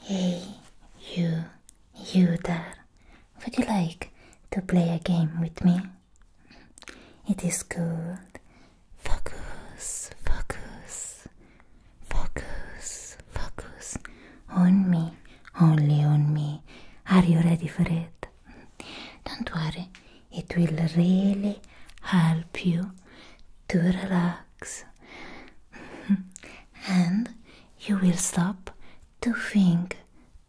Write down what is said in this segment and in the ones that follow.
Hey, you, you there. Would you like to play a game with me? It is good. Focus, focus, focus, focus. On me, only on me. Are you ready for it? Don't worry, it will really help you to relax. relaxed. and you will stop to think,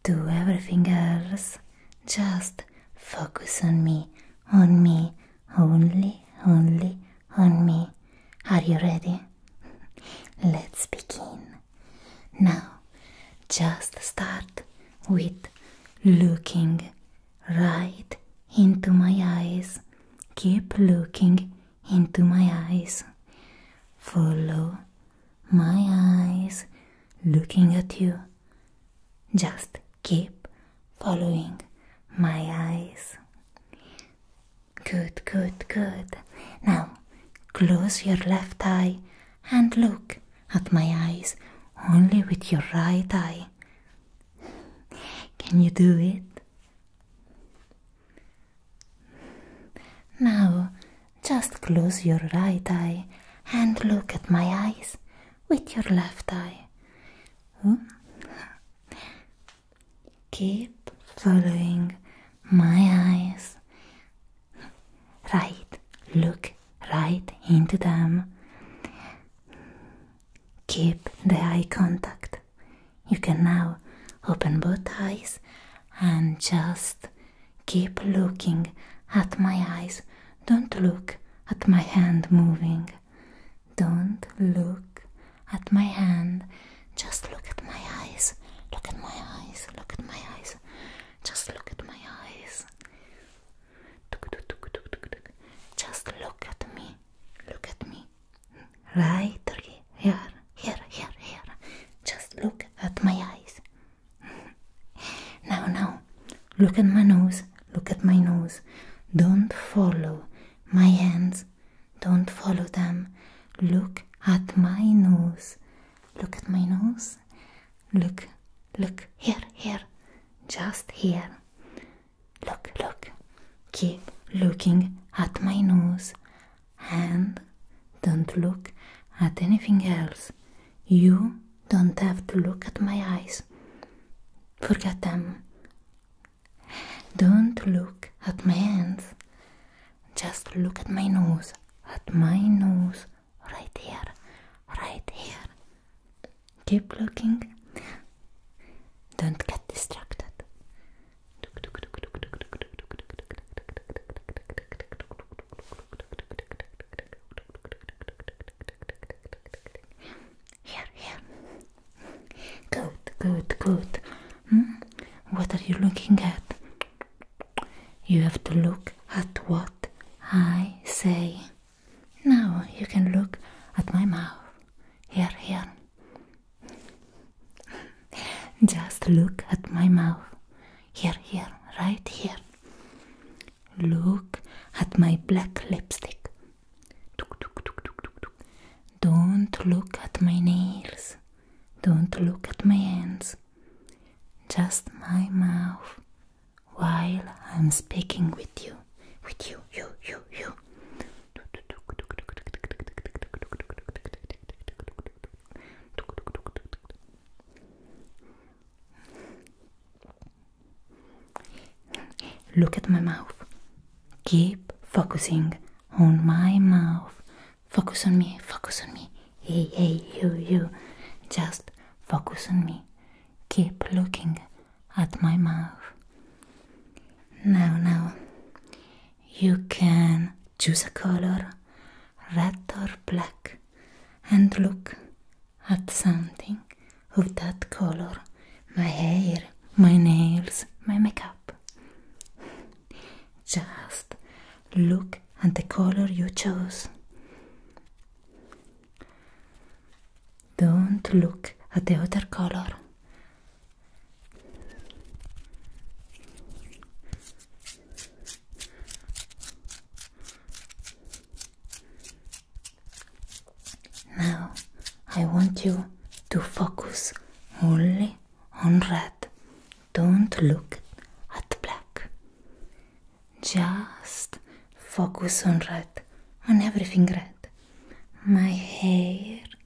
do everything else. Just focus on me, on me, only, only, on me. Are you ready? Let's begin. Now, just start with looking right into my eyes. Keep looking into my eyes. Follow my eyes looking at you. Just keep following my eyes. Good, good, good. Now close your left eye and look at my eyes only with your right eye. Can you do it? Now, just close your right eye and look at my eyes with your left eye. Hmm? Keep following my eyes. Right, look right into them. Keep the eye contact. You can now open both eyes and just keep looking at my eyes. Don't look at my hand moving. Don't look at my hand. Just look at my eyes. Look at my eyes. Look at my eyes. Just look at my eyes. Just look at me. Look at me. Right here, here, here, here. Just look at my eyes. now, now, look at my nose, look at my nose. Don't follow my hands, don't follow them. Look at my nose, look at my nose. Look, look, here, here, just here. Look, look. Keep looking at my nose and don't look at anything else. You don't have to look at my eyes. Forget them. Don't look at my hands. Just look at my nose. At my nose. Right here. Right here. Keep looking. Don't get distracted. Here, here. Good, good, good. What are you looking at? You have to look at what I say. Now you can look at my mouth. Here, here. Just look at my mouth. Here, here, right here. Look at my black lipstick. Don't look at my nails. Don't look at my hands. Just my mouth while I'm speaking with you. With you, you, you, you. Look at my mouth. Keep focusing on my mouth. Focus on me, focus on me. Hey, hey, you, you. Just focus on me. Keep looking at my mouth. Now, now, you can choose a color, red or black, and look at something of that color my hair, my nails, my makeup. Just look at the color you chose. Don't look at the other color. Now I want you to focus only on red. Don't look at black. Just focus on red, on everything red. My hair,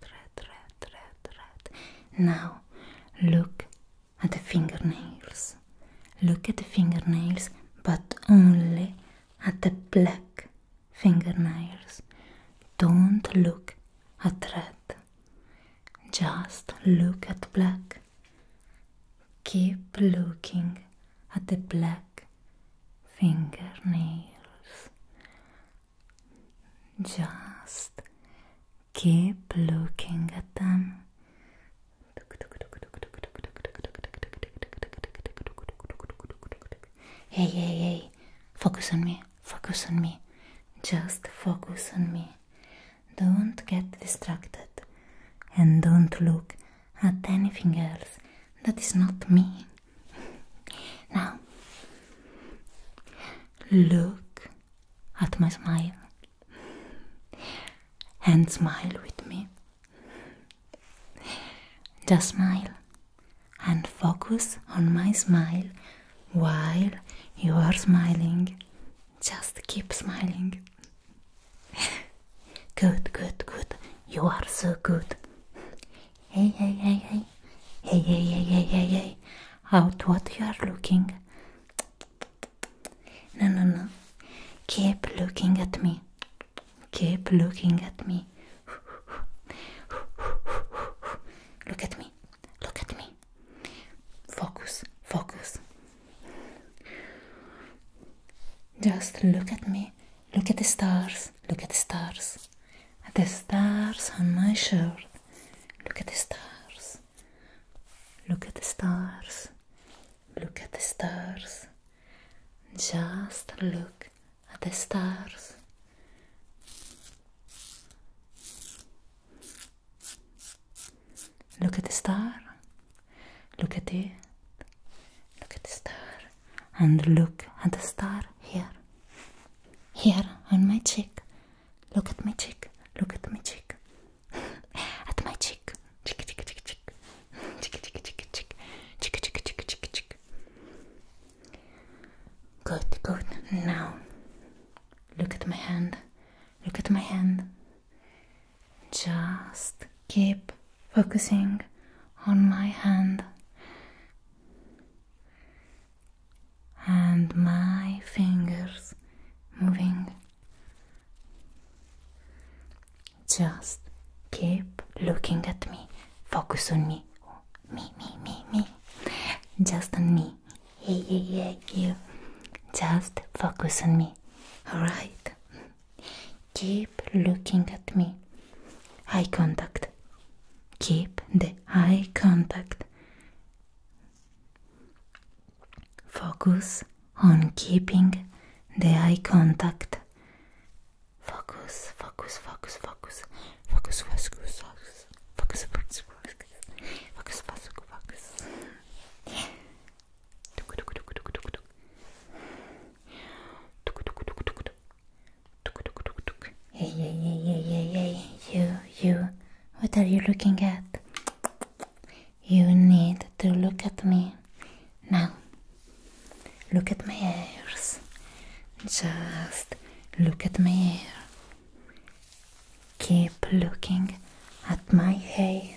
red, red, red, red. Now look at the fingernails. Look at the fingernails, but only at the black fingernails. Don't look at red. Just look at black. Keep looking at the black fingernails. Just keep looking at them. Hey, hey, hey, focus on me, focus on me, just focus on me. Don't get distracted and don't look at anything else that is not me. Now, look at my smile and smile with me. Just smile and focus on my smile while you are smiling. Just keep smiling. Good, good, good. You are so good. Hey, hey, hey, hey. Hey, hey, hey, hey, hey, hey. Out what you are looking. No, no, no. Keep looking at me. Keep looking at me. Look at me. Look at me. Focus, focus. Just look at me. Look at the stars. Look at the stars. The stars on my shirt. Look at the stars. Look at the stars. Look at the stars. Just look at the stars. Look at the star. Look at it. Look at the star. And look at the star here. Here on my cheek. Look at my cheek. Look at my cheek. at my cheek. Cheek, cheek, cheek, cheek. Cheek, cheek, cheek, cheek. Cheek, cheek, cheek, cheek, cheek. Good, good. Now, look at my hand. Look at my hand. Just keep focusing on my hand and my fingers moving. Just keep looking at me. Focus on me. Me, me, me, me. Just on me. Yeah, yeah, yeah, you. Just focus on me. Alright? Keep looking at me. Eye contact. Keep the eye contact. Focus on keeping the eye contact. Focus, focus, focus, focus. Focus, focus, focus. Focus, focus, focus. Focus, focus, focus. Hey, hey, hey, hey, hey, hey, you, you, what are you looking at? You need to look at me. Now, look at my ears. Just look at my hair. Keep looking at my hair.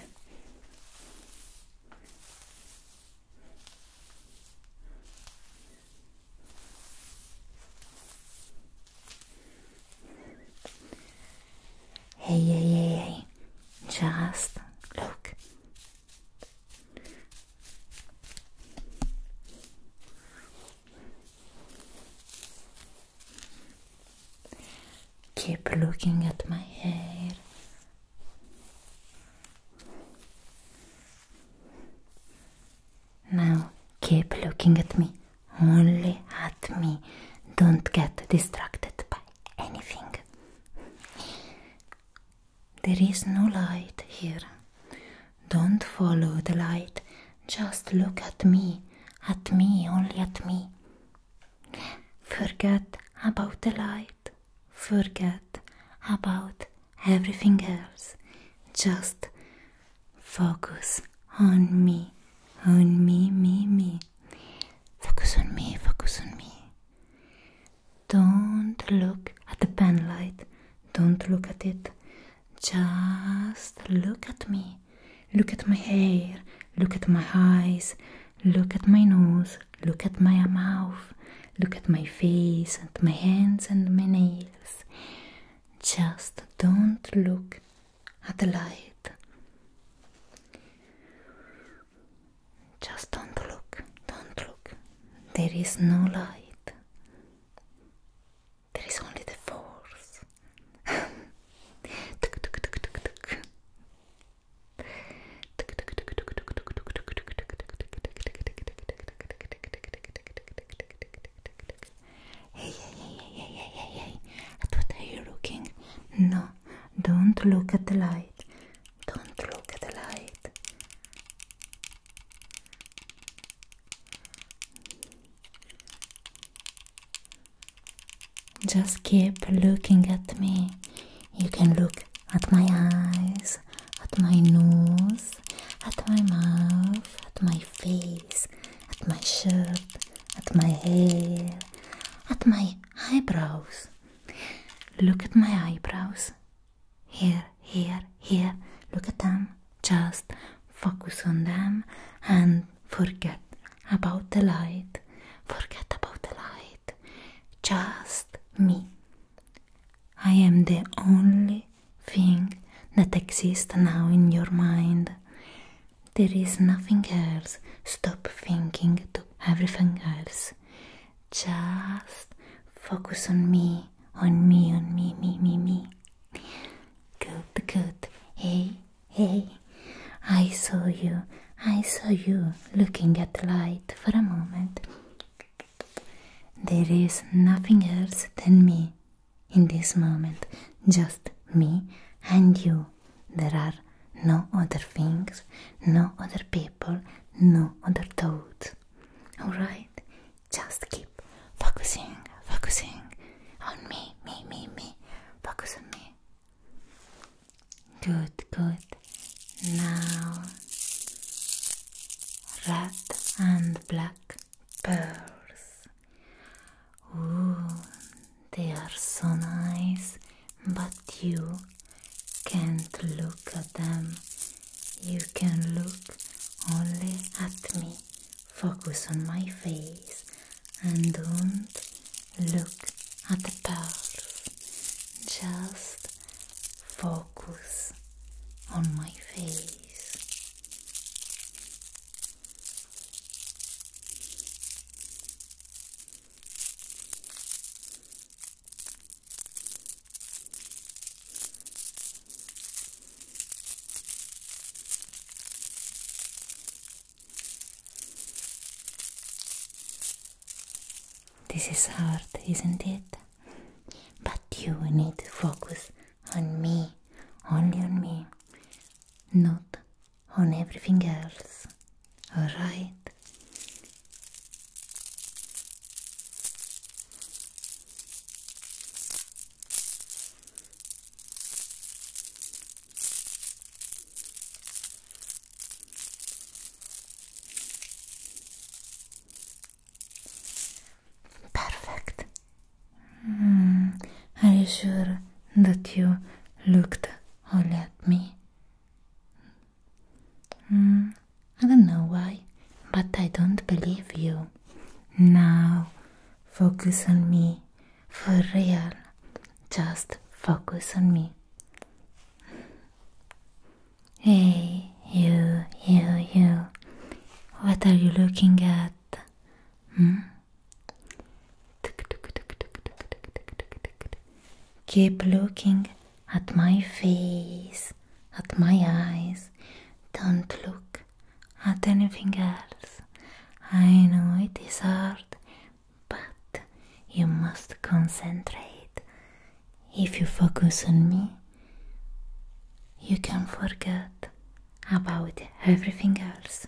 Hey, hey, hey, hey, just look. Keep looking at my hair. Now keep looking at me. only at me. Don't get distracted by anything. There is no light here. Don't follow the light. Just look at me. At me, only at me. Forget about the light. Forget about everything else. Just Focus on me, on me, me, me. Focus on me, focus on me. Don't look at the pen light, don't look at it. Just look at me. Look at my hair, look at my eyes, look at my nose, look at my mouth, look at my face and my hands and my nails. Just don't look at the light. Just don't look, don't look. There is no light. There is only the force. Hey, hey, hey, hey, hey, hey, hey, at what are you looking? No, don't look at the light. Don't look at the light. Just keep looking at me. You can look at my eyes, at my nose, at my mouth, at my face, at my shirt, at my hair, at my eyebrows. Look at my eyebrows. Here, here, here. Look at them. Just focus on them and forget about the light. Forget about the light. Just me. I am the only thing that exists now in your mind. There is nothing else. Stop thinking to everything else. Just focus on me, on me, on me, me, me, me. Good, good. Hey, hey. I saw you. I saw you looking at light for a moment. There is nothing else than me. in this moment, just me and you. There are no other things, no other people, no other thoughts. Alright? Just keep focusing, focusing on me, me, me, me. Focus on me. Good, good. Now, red and black pearls. Ooh, they are so nice, but you can't look at them. You can look only at me. Focus on my face and don't look at the pearls. Just focus on my face. This is hard, isn't it? But you need to focus on me, only on me. not on everything else, alright? Perfect. Hmm. are you sure that you looked only at me? Hmm. I don't know why, but I don't believe you. Now, focus on me. For real. Just focus on me. Hey, you, you, you. What are you looking at? Hmm? Keep looking at my face, at my eyes. Don't look at anything else. I know it is hard, but you must concentrate. If you focus on me, you can forget about everything else.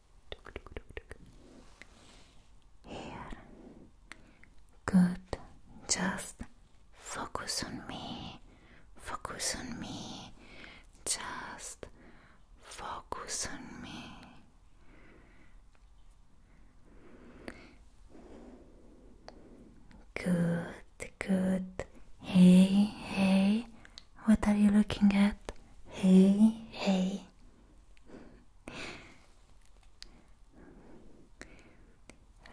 Here. Good. Just focus on me. Focus on me. Just focus on me. Good, good. Hey, hey, what are you looking at? Hey, hey.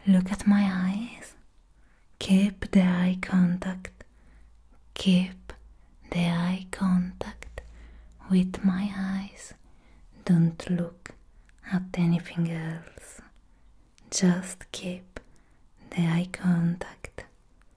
Look at my eyes. Keep the eye contact. Keep the eye contact with my eyes. Don't look at anything else. Just keep the eye contact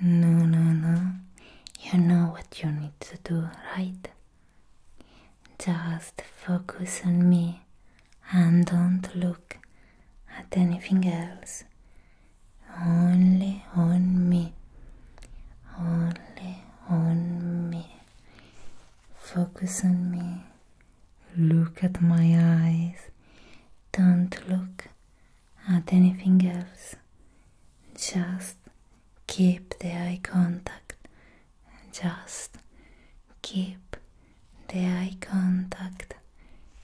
No, no, no. You know what you need to do, right? Just focus on me and don't look at anything else. Only on me. Only on me. Focus on me. Look at my eyes. Don't look at anything else just keep the eye contact, just keep the eye contact,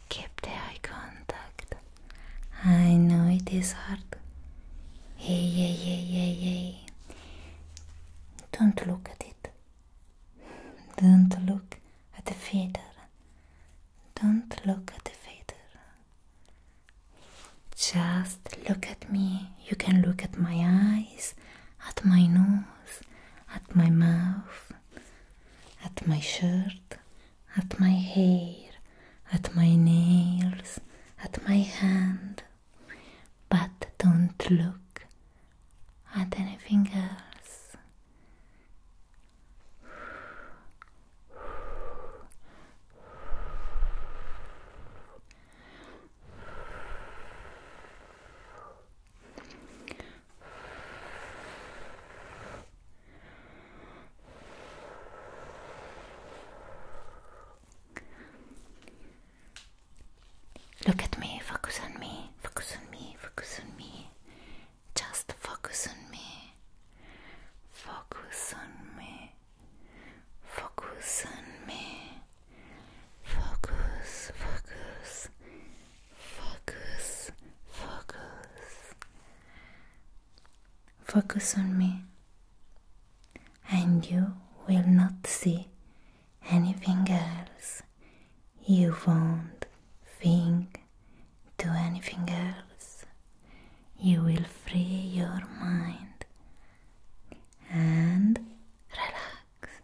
keep the eye contact. I know it is hard. Yeah, yeah, yeah, yeah, yeah. Don't look at it. Don't look at the feather. Don't look at the feather. Just look at me. You can look at my eyes, at my nose, at my mouth, at my shirt, at my hair, at my nails, at my hand. But don't look at anything else. Look at me, focus on me, focus on me, focus on me. Just focus on me. Focus on me. Focus on me. Focus, focus, focus, focus. Focus on me, and you will not see anything else. You won't think to anything else you will free your mind and relax.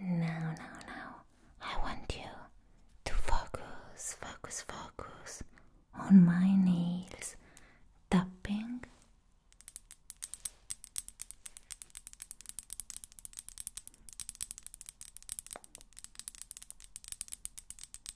Now, now, now, I want you to focus, focus, focus on my nails tapping.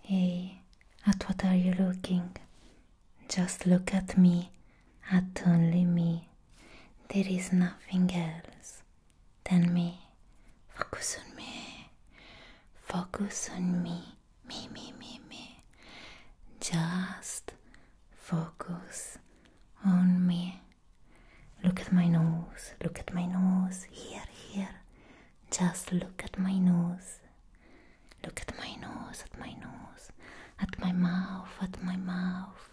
Hey, at what are you looking? Just look at me, at only me. There is nothing else than me. Focus on me. Focus on me. Me, me, me, me. Just focus on me. Look at my nose. Look at my nose. Here, here. Just look at my nose. Look at my nose, at my nose, at my mouth, at my mouth.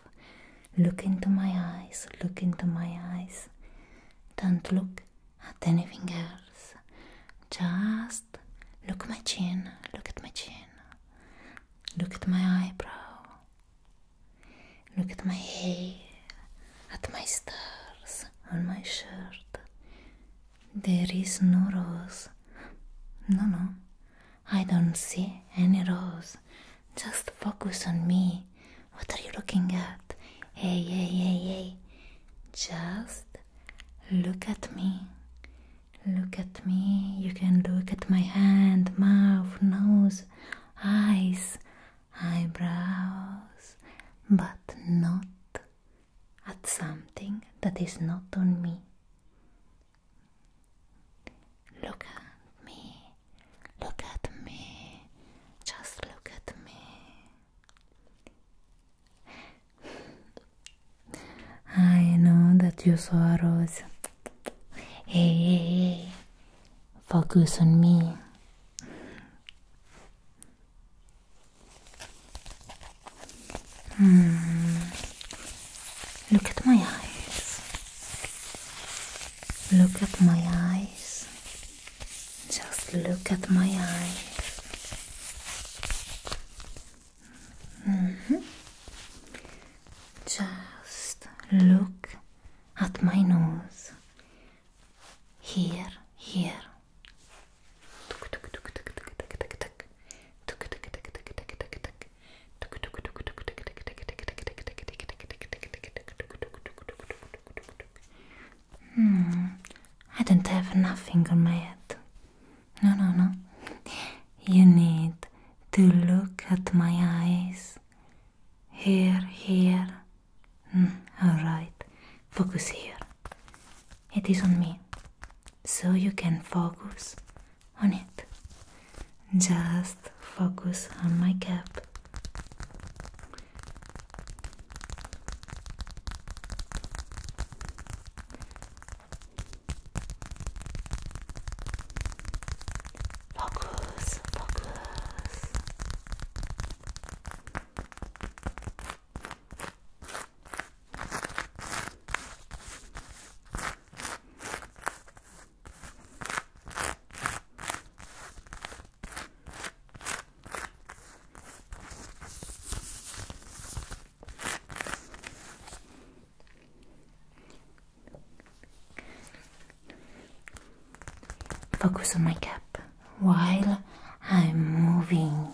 Look into my eyes, look into my eyes. Don't look at anything else. Just look at my chin, look at my chin. Look at my eyebrow. Look at my hair, at my stars on my shirt. There is no rose. No, no, I don't see any rose. Just focus on me. What are you looking at? Hey, hey, hey, hey. Just look at me. Look at me. You can look at my hand, mouth, nose, eyes, eyebrows, but not at something that is not on me. Look at me, look at me, just look at me. I know that you saw a rose. Hey, hey, hey, focus on me. Hmm. Look at my eyes. Look at my eyes. Just look at my eyes. Mm-hmm. Just look at my nose. Here, here. Hmm, I don't have nothing on my head. No, no, no. You need to look at my eyes. Here, here. Mm, all right. Focus here. It is on me. So you can focus on it. Just focus on my cap. Focus, focus. Focus on my cap while I'm moving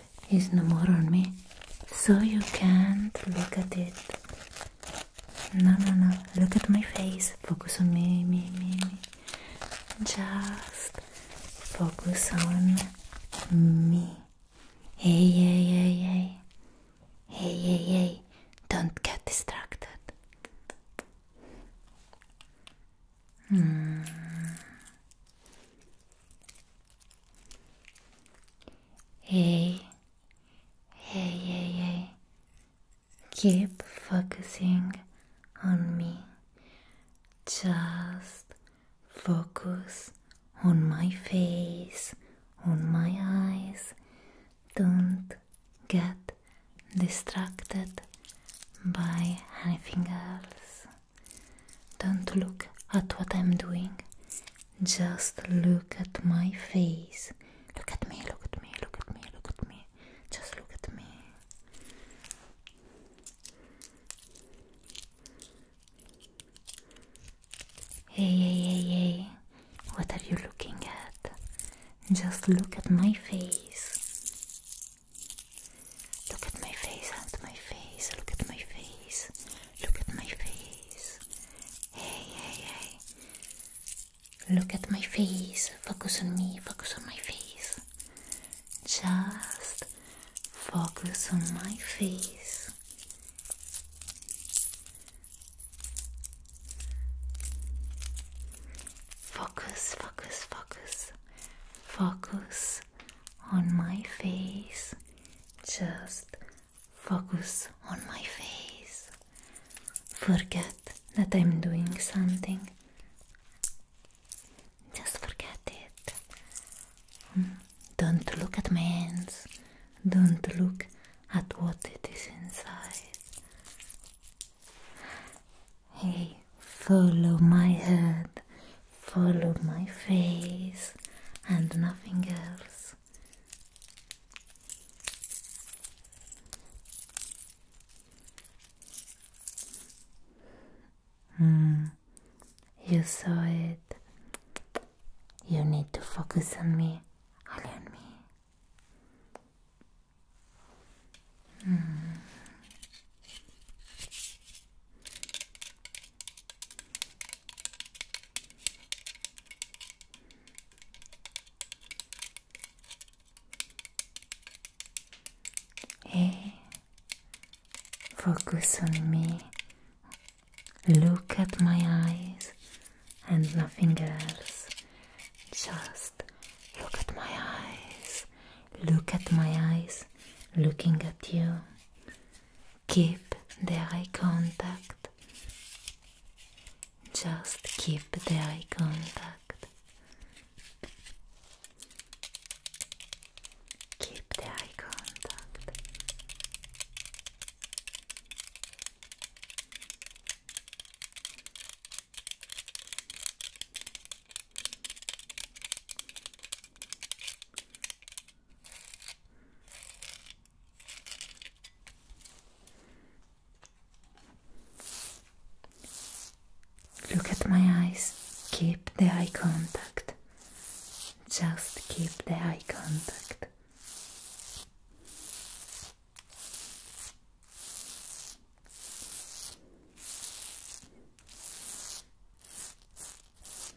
is no more on me, so you can't look at it. No, no, no, look at my face, focus on me, me, me, me. Just focus on me. Hey, hey, hey, hey. Hey, hey, hey, don't get distracted. Hmm. Hey, hey, hey, hey, keep focusing on me. Just focus on my face, on my eyes. Don't get distracted by anything else. Don't look at what I'm doing. Just look at my face. Look at me, look at me, look at me, look at me. Just look at me. Hey, hey, hey, hey. What are you looking at? Just look at my face. Look at my face, and my face, look at my face. Look at my face. Hey, hey, hey. Look at my face. Focus on me. Focus on my face. Just focus on my face. Focus, focus, focus. Focus on my face. Just Focus on my face. Forget that I'm doing something. Just forget it. Hmm. Don't look at my hands. Don't look at what it is inside. Hey, follow my head, follow my face, and nothing else off. Mm. you saw it. You need to focus on me, only on me. Mm. Hey, focus on me. Look at my eyes and nothing else. Just look at my eyes. Look at my eyes looking at you. Keep the eye contact. Just keep the eye contact. Keep the eye contact. Look at my eyes. Keep the eye contact. Just keep the eye contact.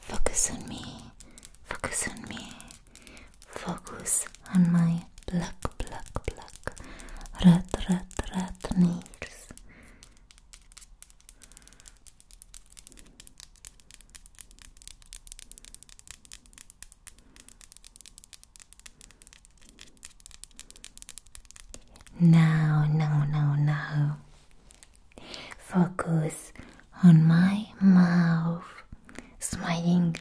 Focus on me, focus on me, focus on my black, black, black red, red, red nails. Now, now, now, now. Focus on my mouth, smiling.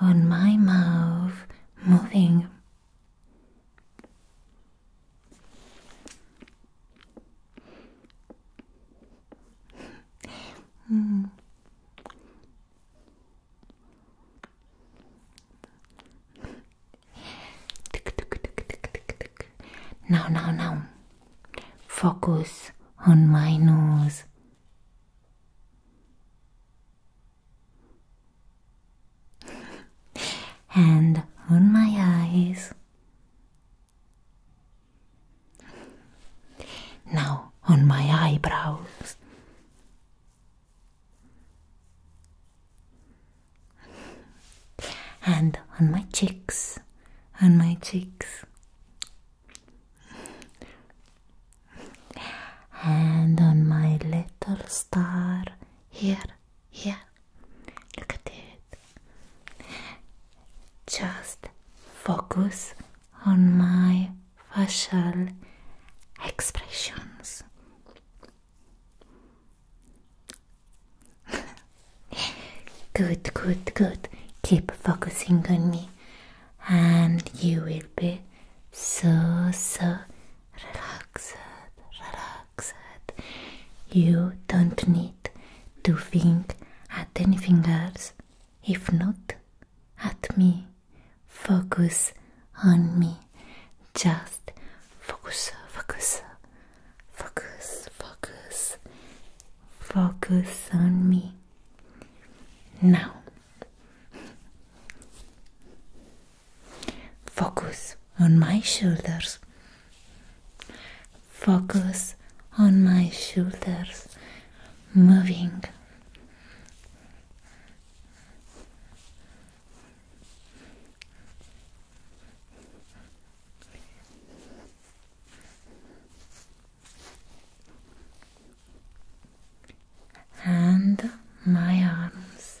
On my mouth, moving. mm. Now, now, now. Focus on my nose. and on my eyes. Now on my eyebrows. and on my cheeks, on my cheeks, and on my little star here, here. Look at it. Just focus on my facial expressions. good, good, good. Keep focusing on me, and you will be so, so relaxed, relaxed. You don't need to think at anything else, if not at me. Focus on me. Just focus, focus, Focus, focus, focus on me. Now, focus on my shoulders. Focus on my shoulders moving and my arms.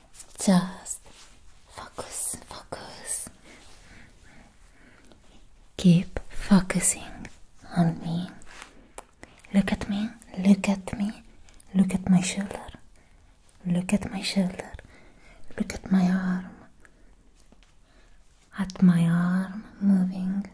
Just focus, focus. Keep focusing on me. Look at me, look at me, look at my shoulder, look at my shoulder, look at my arm, at my arm moving.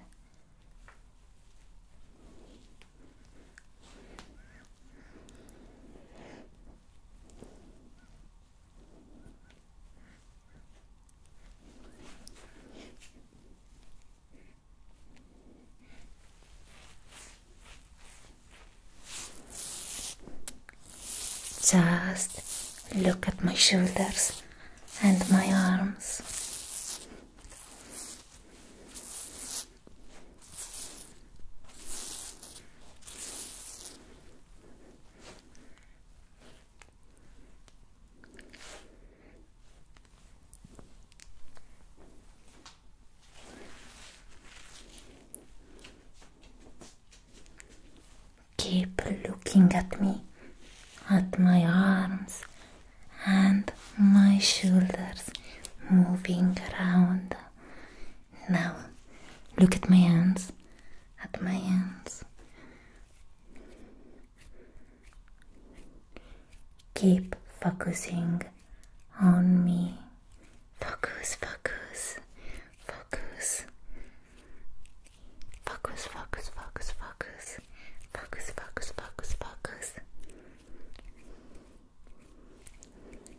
Just look at my shoulders and my arms. Keep looking at me, at my arms and my shoulders moving around now, look at my hands, at my hands. Keep focusing on me. Focus, focus, focus. Focus, focus, focus, focus. Focus, focus, focus, focus.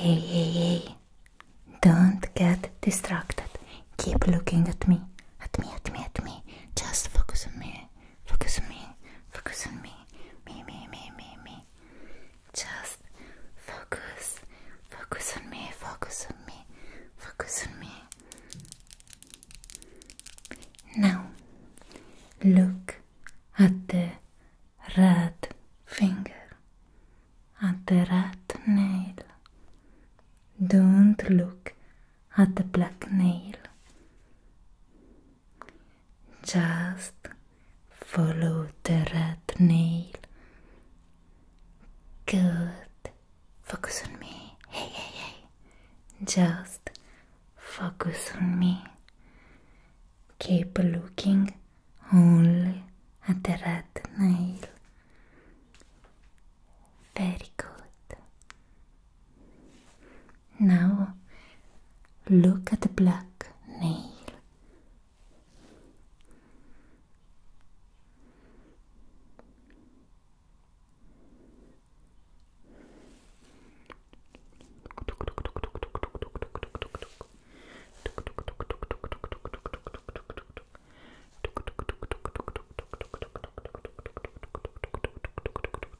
Hey, hey, hey. Don't get distracted. Keep looking at me. At me, at me, at me. Just focus on me. focus on me, focus on me, me, me, me, me, me. Just focus, focus on me, focus on me, focus on me. Now, look at the red finger, at the red nail. Don't look at the black nail. Just follow the red nail. Good. Focus on me. Hey, hey, hey. Just focus on me. Keep looking only at the red nail. Very good. Now look at the black nail.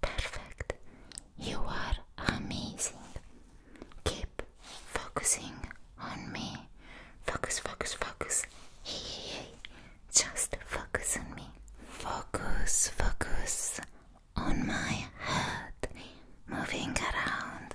Perfect. You are amazing. Keep focusing on me. Focus, focus, focus. Hey, Just focus on me. Focus, focus on my head moving around.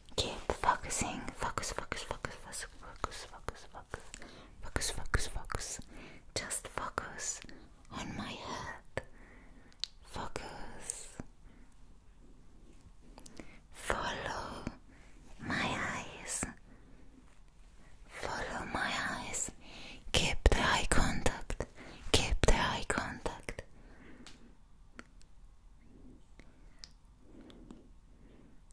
Keep focusing. Focus, focus, focus, focus, focus, focus, focus, focus, focus, focus. Just focus on my head. Focus. Follow my eyes. Follow my eyes. Keep the eye contact. Keep the eye contact.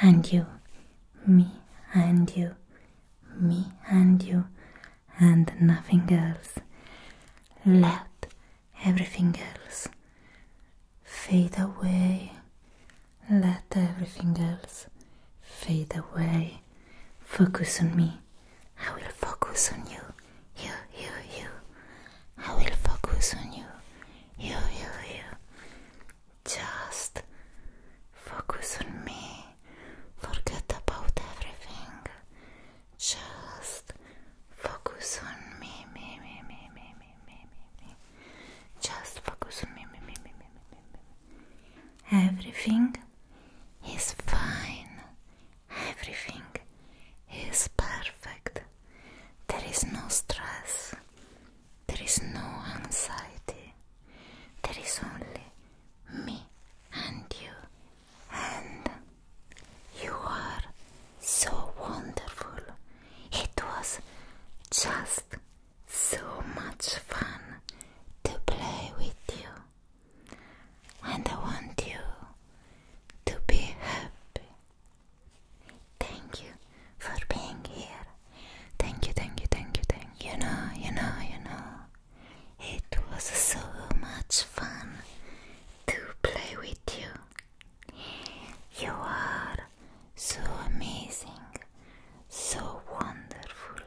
and you, me and you, me and you, and nothing else. Let everything else fade away. Let everything else fade away. Focus on me. I will focus on you. You, you, you. I will focus on you. You, you, you. Just focus on me. Forget about everything. Just focus on me, me, me, me, me, me, me, me, Just focus on me, me, me, me, me, me, me. Everything is fine. Everything is perfect. There is no stress. There is no anxiety. There is only me and you. And you are so wonderful. It was just so much fun to play with you. And I want you to be happy Thank you for being here. Thank you, thank you, thank you, thank you. You know, you know, you know. It was so much fun to play with you. You are so amazing, so wonderful,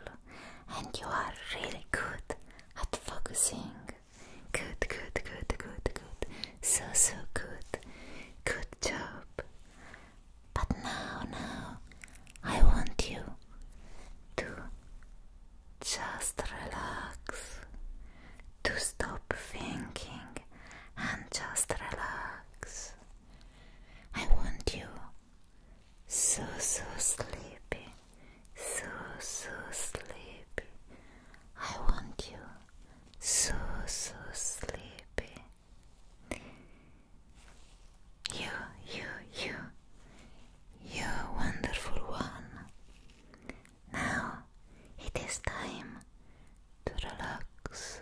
and you are really good at focusing. Good, good, good, good, good. So, so good. Good job. But now, now, I want you to just relax, to stop thinking and just relax. I want you so, so sleepy, so, so sleepy. I want you so, so sleepy. You, you, you, you wonderful one. Now it is time to relax.